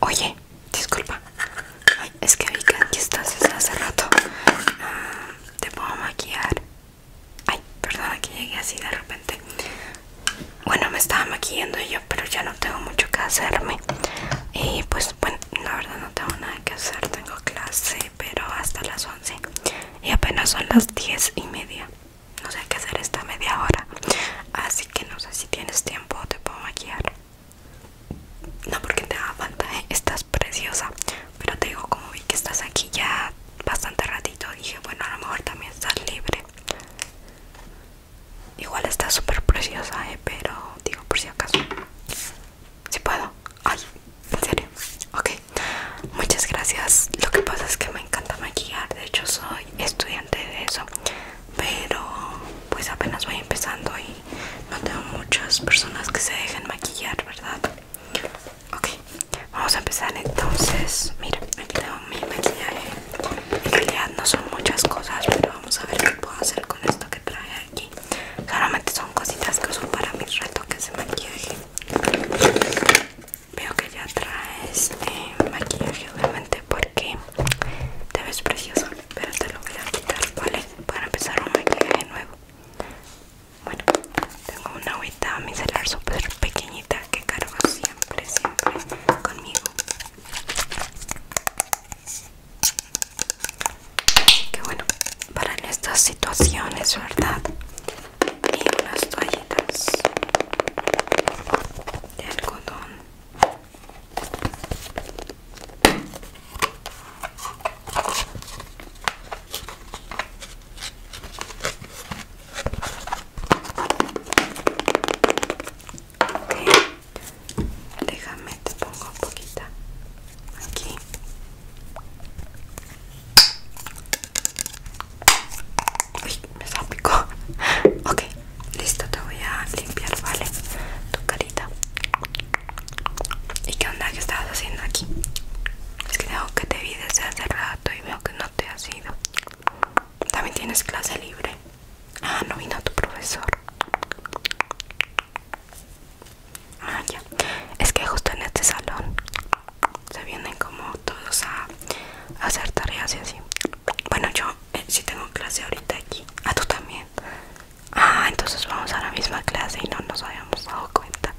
Oye, disculpa. es que vi que aquí estás desde hace rato. Ah, te puedo maquillar. Ay, perdona que llegué así de repente. Bueno, me estaba maquillando yo, pero ya no tengo mucho que hacerme. Y pues, bueno, la verdad no tengo nada que hacer, tengo clase, pero hasta las 11 y apenas son las 10 y media. No sé qué hacer esta media hora, así que no sé si tienes tiempo, te puedo maquillar. No porque te haga falta, ¿eh? estás preciosa, pero te digo, como vi que estás aquí ya bastante ratito, dije, bueno, a lo mejor también estás libre. Igual está súper preciosa, ¿eh? pero digo por si acaso. Si puedo. Ay, en serio. Ok. Muchas gracias. Lo que pasa es que me encanta maquillar. De hecho, soy estudiante de eso. Pero pues apenas voy empezando y no tengo muchas personas que se dejen maquillar, ¿verdad? Ok. Vamos a empezar entonces. Mira, aquí tengo mi maquillaje. En no son muchas cosas, pero vamos a ver qué puedo hacer con esto que trae aquí claramente son cositas que uso para mis retoques de maquillaje veo que ya traes este maquillaje obviamente porque te ves precioso pero te lo voy a quitar vale para empezar un maquillaje nuevo bueno tengo una agüita micelar súper pequeñita que cargo siempre siempre conmigo que bueno para estas situaciones verdad y unas toallitas de algodón ok déjame te pongo un poquito aquí uy me salpicó ok listo te voy a limpiar vale tu carita y qué onda que estabas haciendo aquí es que tengo que te vi desde hace rato y veo que no te has ido también tienes clase libre ah no vino tu profesor Ah, es que justo en este salón se vienen como todos a, hacer tareas y así. Bueno, yo eh, sí tengo clase ahorita aquí. a ah, tú también. Ah, entonces vamos a la misma clase y no nos habíamos dado cuenta.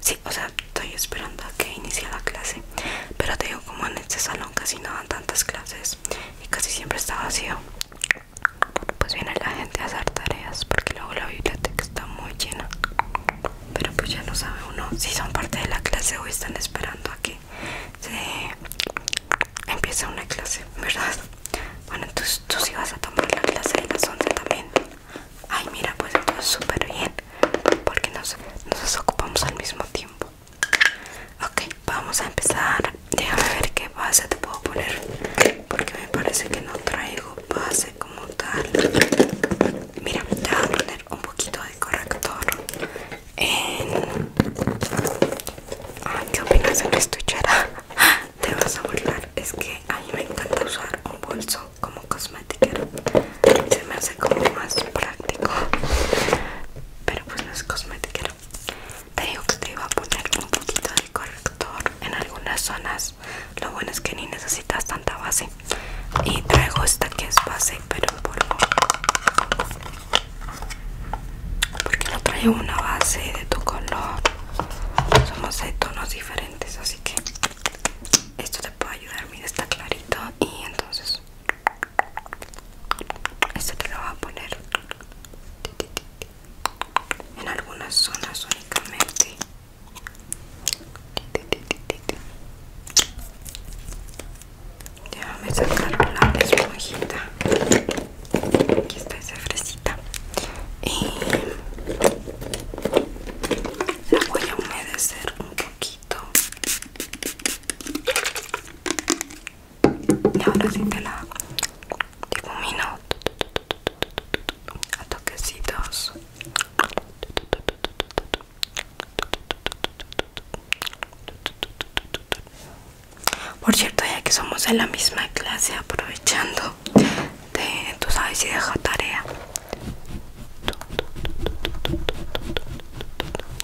Sí, o sea, estoy esperando a que inicie la clase. Pero te digo, como en este salón casi no dan tantas clases y casi siempre está vacío pues viene la gente a hacer tareas porque luego la biblioteca está muy llena pero pues ya no sabe uno si son parte de la clase o están esperando a que se empiece una clase verdad bueno entonces tú sí vas a tomar la clase de las 11 también ay mira pues esto es súper bien porque nos, nos ocupamos al mismo tiempo Ok, vamos a empezar. Déjame ver qué base te puedo poner. Porque me parece que no traigo base como tal. Mira, te voy a poner un poquito de corrector. En... ¿Qué opinas de la estuchera? Te vas a burlar. Es que a mí me encanta usar un bolso como cosmetiquero. Se me hace como más práctico. Pero pues no es cosmética, te digo que te iba a poner un poquito de corrector en algunas zonas lo bueno es que ni necesitas tanta base y traigo esta que es base pero en polvo porque no traigo una base de tu color somos de tonos diferentes así que esto te puede ayudar mira está clarito y entonces esto te lo voy a poner en algunas zonas únicamente. Déjame sacar la esponjita. Aquí está esa fresita. Y la voy a humedecer un poquito y ahora sí te la difumino a toquecitos por cierto ya que somos en la misma clase aprovechando de, tú sabes si deja tarea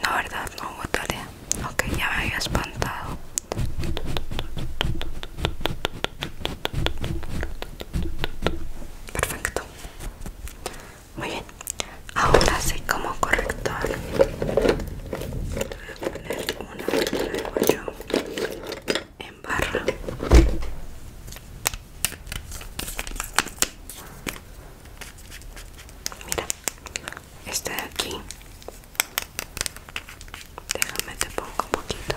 no verdad no hubo tarea Ok, ya me había espantado. Perfecto. Muy bien. Ahora sí, como corrector, voy a poner una de en barra. Mira, este de aquí. Déjame te pongo un poquito.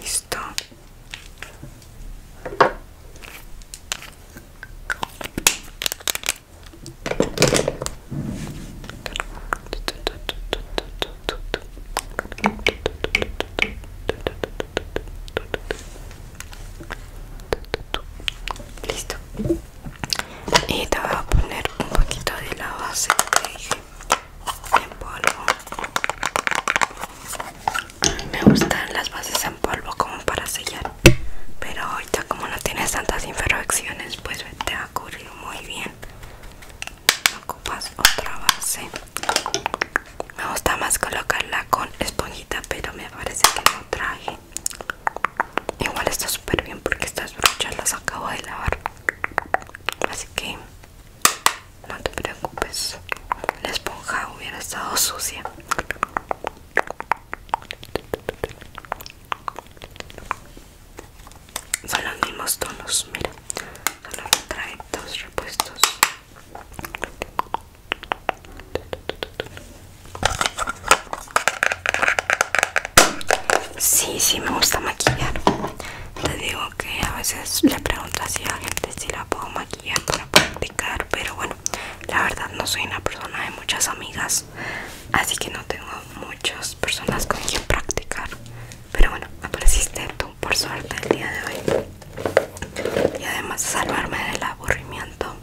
Listo. Listo. Y te voy a poner un poquito de la base en polvo. Me gustan las bases en polvo como para sellar. Pero ahorita como no tienes tantas infracciones pues te ha ocurrido muy bien. No ocupas otra base me gusta más colocarla con esponjita pero me parece que no traje igual está súper bien porque estas brochas las acabo de lavar así que no te preocupes la esponja hubiera estado sucia son los mismos tonos mira solo trae dos repuestos Sí, sí me gusta maquillar. Te digo que a veces le pregunto si a gente si la puedo maquillar para practicar, pero bueno, la verdad no soy una persona de muchas amigas así que no tengo muchas personas con quien practicar pero bueno apareciste tú por suerte el día de hoy y además salvarme del aburrimiento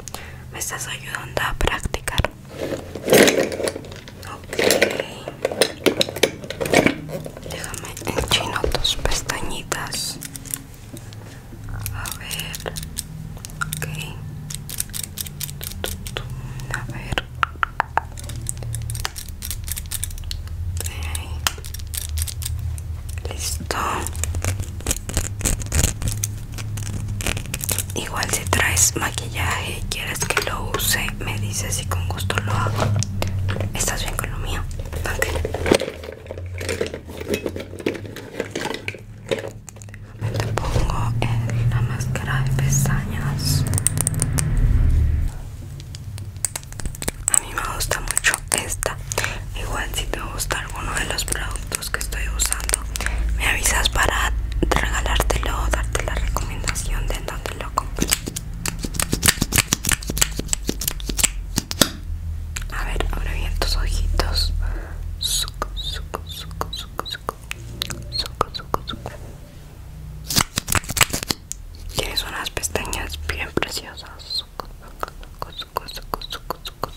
me estás ayudando a practicar ok déjame chino tus pestañitas a ver ok a ver. Listo. Igual si traes maquillaje y quieres que lo use, me dices y con gusto lo hago. ¿Estás bien con lo mío? Ok me lo pongo en la máscara de pestañas. A mí me gusta mucho esta. Igual si te gusta alguno de los productos que estoy usando, me avisas para regalártelo o darte la recomendación de donde dónde lo compré. A ver, abre bien tus ojitos. Suco, suco, suco, suco, suco suco, suco, Tienes unas pestañas bien preciosas. Suco, suco, suco, suco, suco,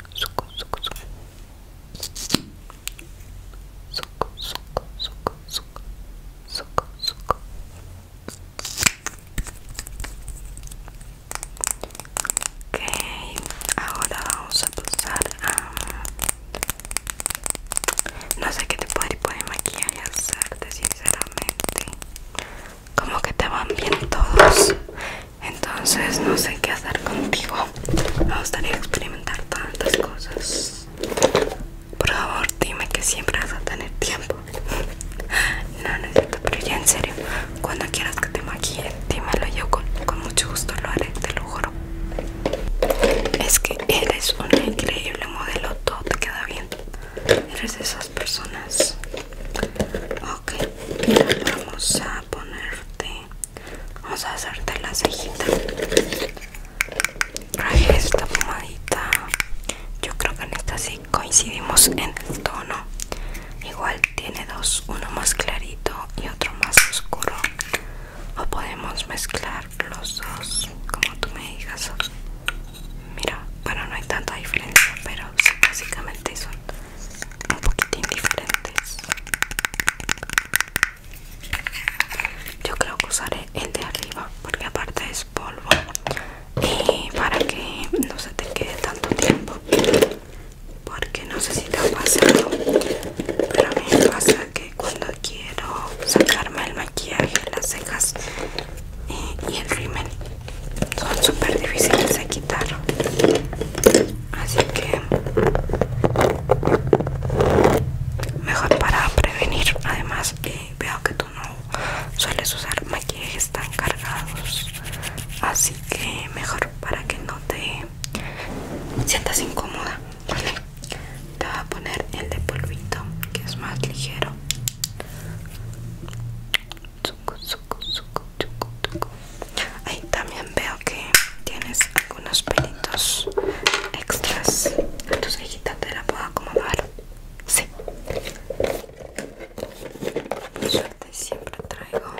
suco, suco. Ok, ahora vamos a pasar a... No sé qué te puede poner maquillaje hacerte sinceramente. Como que te van bien todos. Entonces no sé qué hacer contigo. Me gustaría experimentar tantas cosas. Por favor, dime que siempre vas a tener tiempo. No, no es cierto, pero ya en serio, cuando quieras que te maquille, dímelo yo con, mucho gusto lo haré, te lo juro. Es que eres un increíble modelo, todo te queda bien. Eres de esas personas. Ok, vamos a ponerte. Vamos a hacerte la cejita. Traje esta pomadita. Yo creo que en esta sí coincidimos en el tono igual tiene dos uno más clarito y otro más oscuro o podemos mezclar los dos como tú me digas mira bueno no hay tanta diferencia pero sí, básicamente son un poquito indiferentes. yo creo que usaré el de arriba porque aparte es polvo y para que no se te quede tanto tiempo porque no sé si te ha pasado pero a mí me pasa que cuando quiero sacarme el maquillaje las cejas eh, y, el rímel son súper difíciles de quitar así que mejor para prevenir además que eh, veo que no sueles usar maquillajes tan cargados así que mejor para que no te sientas incómoda te voy a poner el de polvito que es más ligero ahí también veo que tienes algunos pelitos extras Tus ahí te la puedo acomodar sí suerte siempre traigo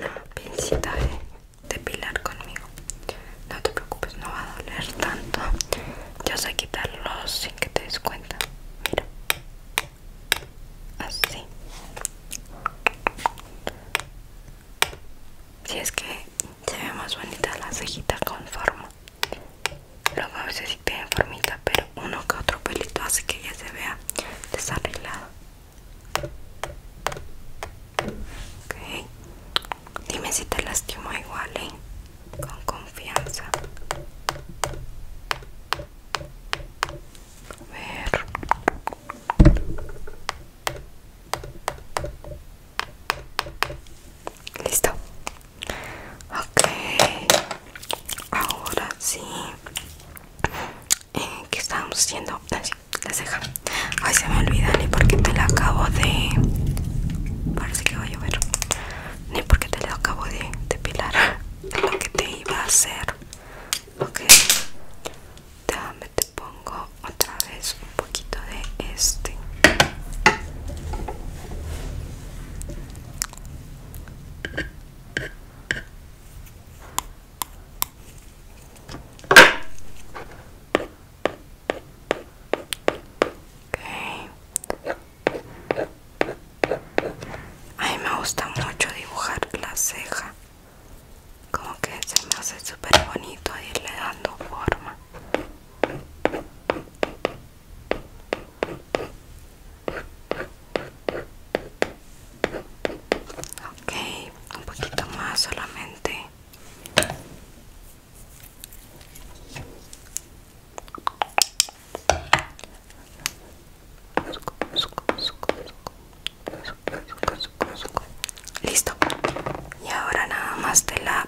una pincita de depilar conmigo no te preocupes no va a doler tanto yo sé quitarlos sin que te des cuenta mira así si es que se ve más bonita la cejita con forma a veces sí tienen formita, pero uno que otro pelito hace que ya se vea desarreglado. Ok, dime si te lastima igual, ¿eh? Con confianza. A ver. Listo, ok ahora sí eh, que estamos haciendo Ay, ah, Ay, se me olvida ni porque te la acabo de parece que va a llover ni porque te la acabo de depilar lo que te iba a hacer ok déjame te pongo otra vez poquito de este A mí me gusta mucho dibujar la ceja, como que se me hace super bonito irle dando forma. Okay, un poquito más solamente. Listo. Y ahora nada más de la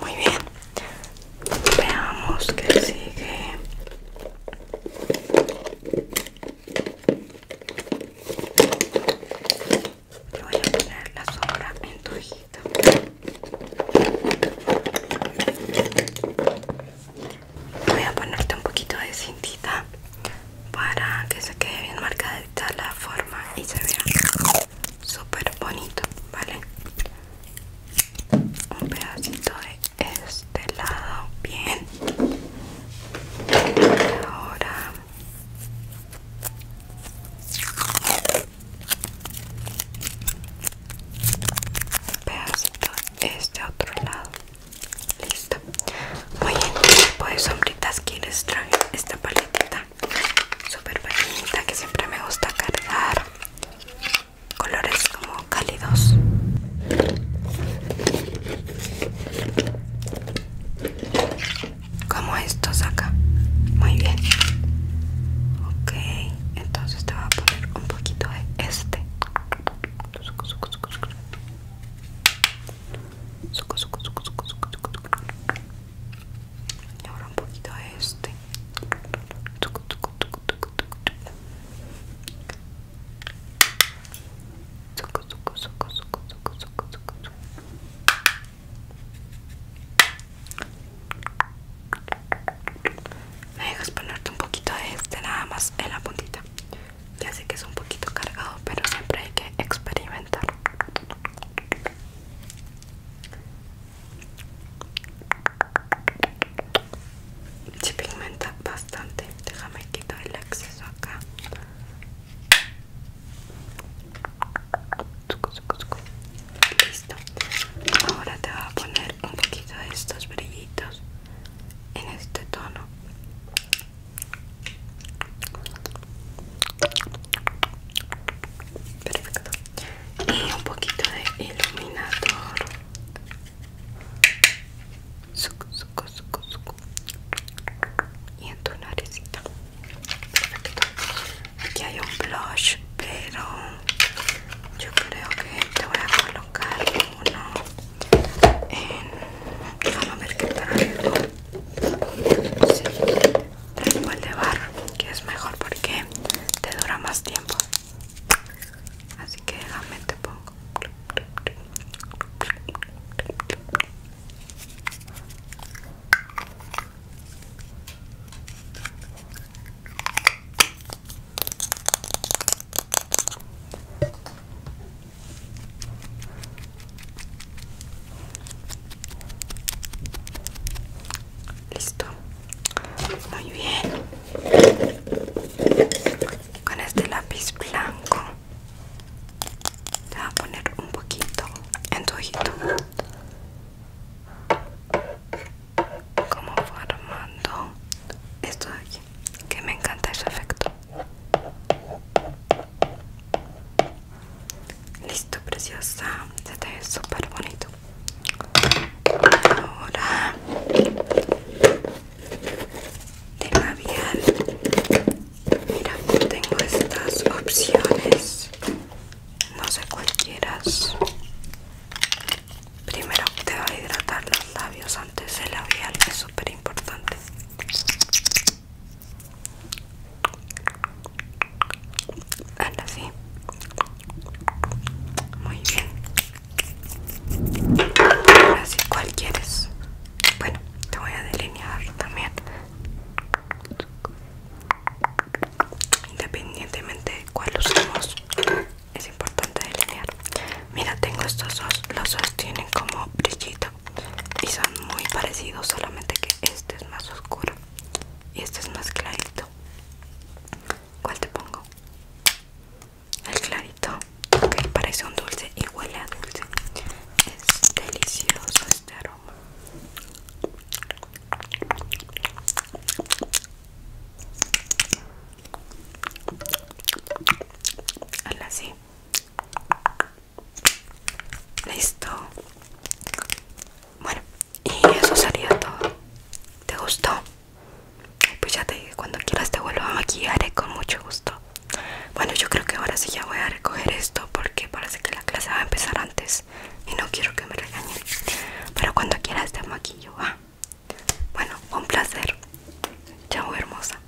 Muy bien. Veamos que sigue. voy a poner la sombra en tu hijita. Voy a ponerte un poquito de cintita para que se quede bien marcada la forma y se vea súper bonito vale un pedacito de este lado bien ahora un pedacito de este otro lado listo muy bien pues sombritas que les esta paletita súper pequeñita que siempre me gusta cargar colores como cálidos como estos acá muy bien ok entonces te voy a poner un poquito de este y ahora un poquito de este. Me dejas ponerte un poquito de este nada más en la puntita. Ya sé que es un poquito cargado, pero siempre hay que experimentar. Se pigmenta bastante. Déjame quitar el acceso acá. Listo. Ahora te voy a poner un poquito de estos brillitos en este tono. Perfecto. Y un poquito de iluminador. Suco, suco, suco, suco. Y en tu naricita. Perfecto. Aquí hay un blush, pero yo creo que te voy a colocar uno en... Vamos a ver qué tal el de barro que es mejor porque te dura más tiempo así que déjame te pongo Listo. Muy bien. Con este lápiz blanco te voy a poner un poquito en tu ojito. Como formando esto de aquí. Que me encanta ese efecto. Listo, preciosa. Se te ve súper bonito. Ahora de labial. Mira, tengo estas opciones. No sé cualquieras. quieras. Primero te va a hidratar los labios antes el labial, es súper importante. Ahora sí. Muy bien. Ahora sí, cual quieres? Bueno, te voy a delinear también. Independientemente de cuál usemos, es importante delinear. Mira, tengo estos dos. Los dos tienen como brillito y son muy parecidos solamente que este es más oscuro y este es más clarito ¿cuál te pongo? el clarito ok parece un dulce y huele a dulce es delicioso este aroma así Listo. Bueno, y eso sería todo. ¿Te gustó? Pues ya te dije, cuando quieras te vuelvo a maquillar eh, con mucho gusto. Bueno, yo creo que ahora sí ya voy a recoger esto porque parece que la clase va a empezar antes y no quiero que me regañen. Pero cuando quieras te maquillo, va. Bueno, un placer. Chao, hermosa.